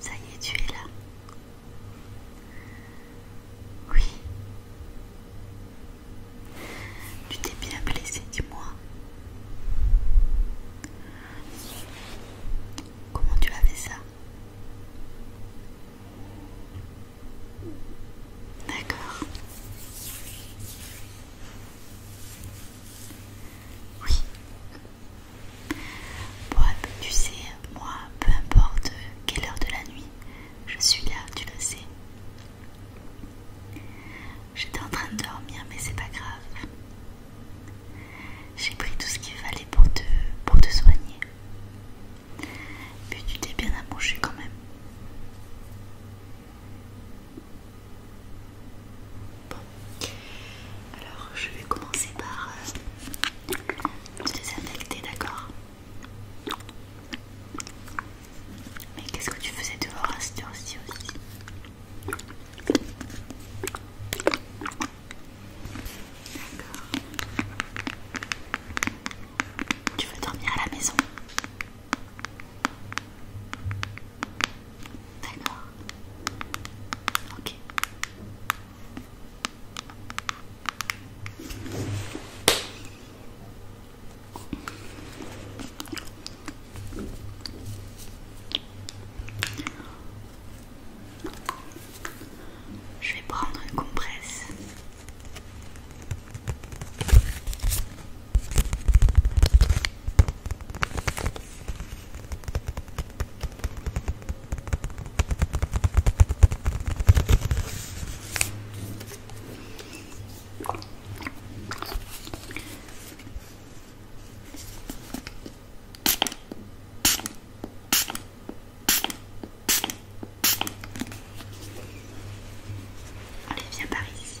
Ça y est, tu es là. Oui. Tu t'es bien blessé, dis-moi. Comment tu as fait ça D'accord. Oui. Bob, tu sais, moi, peu importe quelle heure de la nuit, je suis là, tu le sais. J'étais en train de dormir, mais c'est pas grave. J'ai pris tout ce qu'il fallait pour te, pour te soigner. Mais tu t'es bien approché quand même alors je vais commencer par euh, te désinfecter, d'accord Mais qu'est-ce que tu faisais dehors à ce aussi D'accord. Tu veux dormir à la maison je vais prendre une compresse. Allez, viens par ici.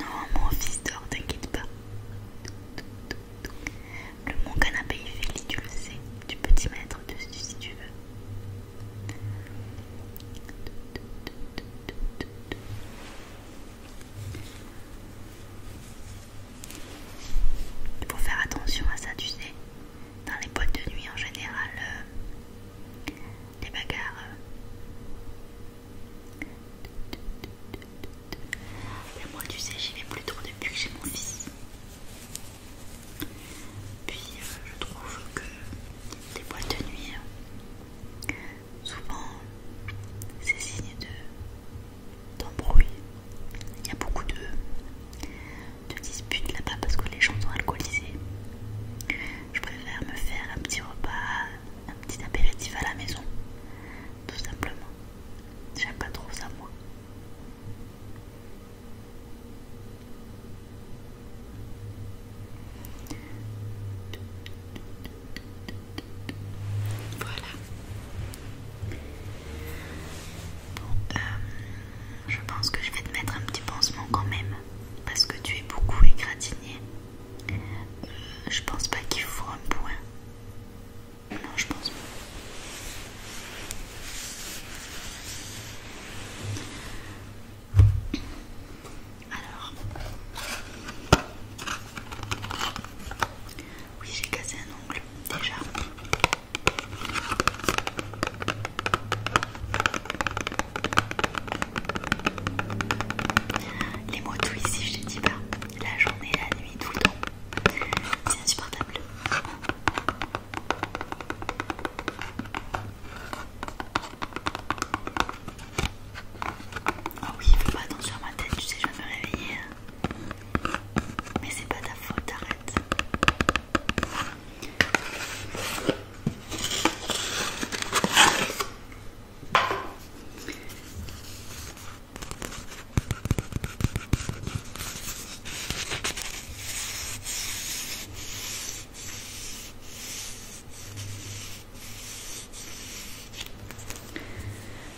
Non, mon fils dort, t'inquiète pas. Le mon canapé est fait tu le sais. Tu peux t'y mettre dessus si tu veux. Il faut faire attention à ça, tu sais. Dans les boîtes de nuit en général, euh, des bagarres. Euh. Mais moi, tu sais, j'y vais plus depuis que j'ai mon fils. Puis euh, je trouve que les boîtes de nuit, euh, souvent, c'est signe d'embrouille. Il y a beaucoup de, de disputes là-bas parce que les gens sont alcoolisés. Je préfère me faire un petit repas, un petit apéritif à la maison, tout simplement. J'aime pas trop ça, moi. Voilà. Euh, je pense que je vais te mettre un petit pansement quand même, parce que tu es beaucoup égratigné. Euh, je pense pas qu'il faut un point. Non, je pense pas. Alors, oui, j'ai cassé un ongle déjà. Les mots ici, je te dis pas. La journée, la nuit, tout le temps. C'est insupportable. Oh oui, fais pas attention sur ma tête, tu sais, je vais me réveiller. Hein. Mais c'est pas ta faute, arrête.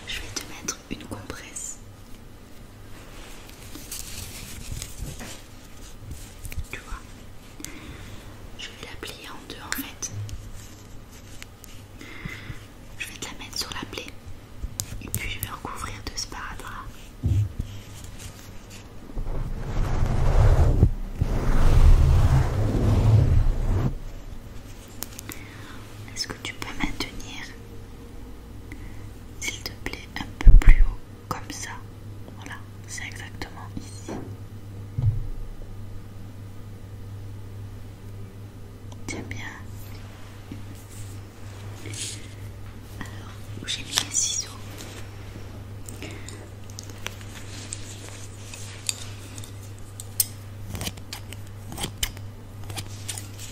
Je vais te mettre une compresse tu vois, je vais la plier en deux en fait. Je vais te la mettre sur la plaie et puis je vais recouvrir de sparadrap. Est-ce que tu peux maintenir s'il te plaît, un peu plus haut, comme ça. Voilà, c'est exactement ici. Tiens bien. Alors, où j'ai mis les ciseaux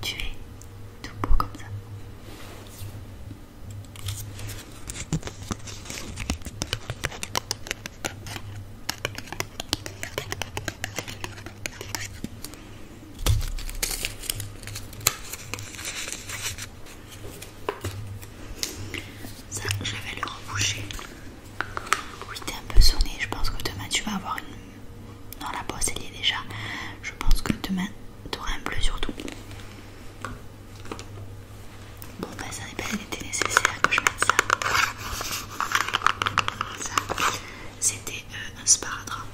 Tu es tout beau comme ça. Ça, je vais le reboucher. Oui, t'es un peu sonné. Je pense que demain tu vas avoir une non, la bosse elle est déjà. Je pense que demain t'auras un bleu surtout. Bon, ben ça n'est pas nécessaire que je mette ça. Ça, c'était euh, un sparadrap.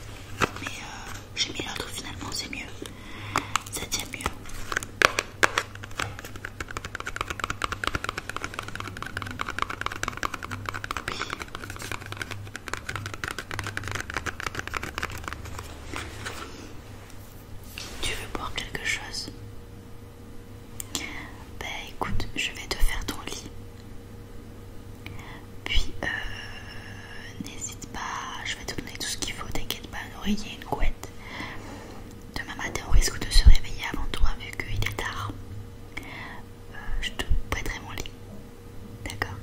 Mais euh, j'ai mis l'autre finalement, c'est mieux. Ça tient mieux. Tu veux boire quelque chose Ben écoute, je vais te faire ton lit. Puis euh, n'hésite pas, je vais te donner tout ce qu'il faut, t'inquiète pas, un oreiller, une couette. Demain matin, on risque de se réveiller avant toi vu qu'il est tard. Euh, je te prêterai mon lit. D'accord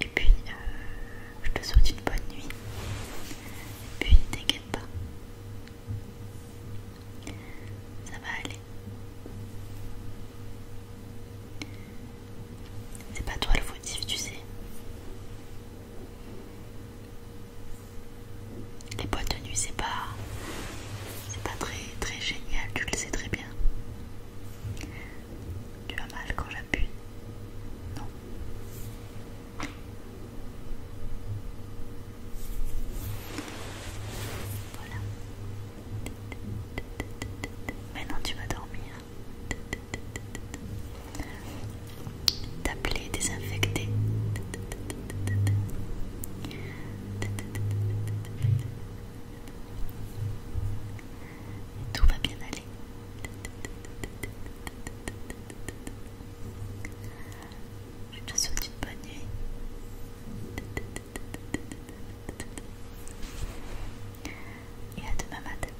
Et puis, euh, je te souhaite une bonne nuit. Et puis, t'inquiète pas. Ça va aller. C'est pas toi le fautif, tu sais. Les boîtes de nuit, c'est pas c'est pas très très génial, tu le sais très bien. Tu as mal quand j'appuie Non. Voilà. Maintenant tu vas dormir. T'appeler, désinfecter. Tout va bien aller. Je te souhaite une bonne nuit. Et à demain matin.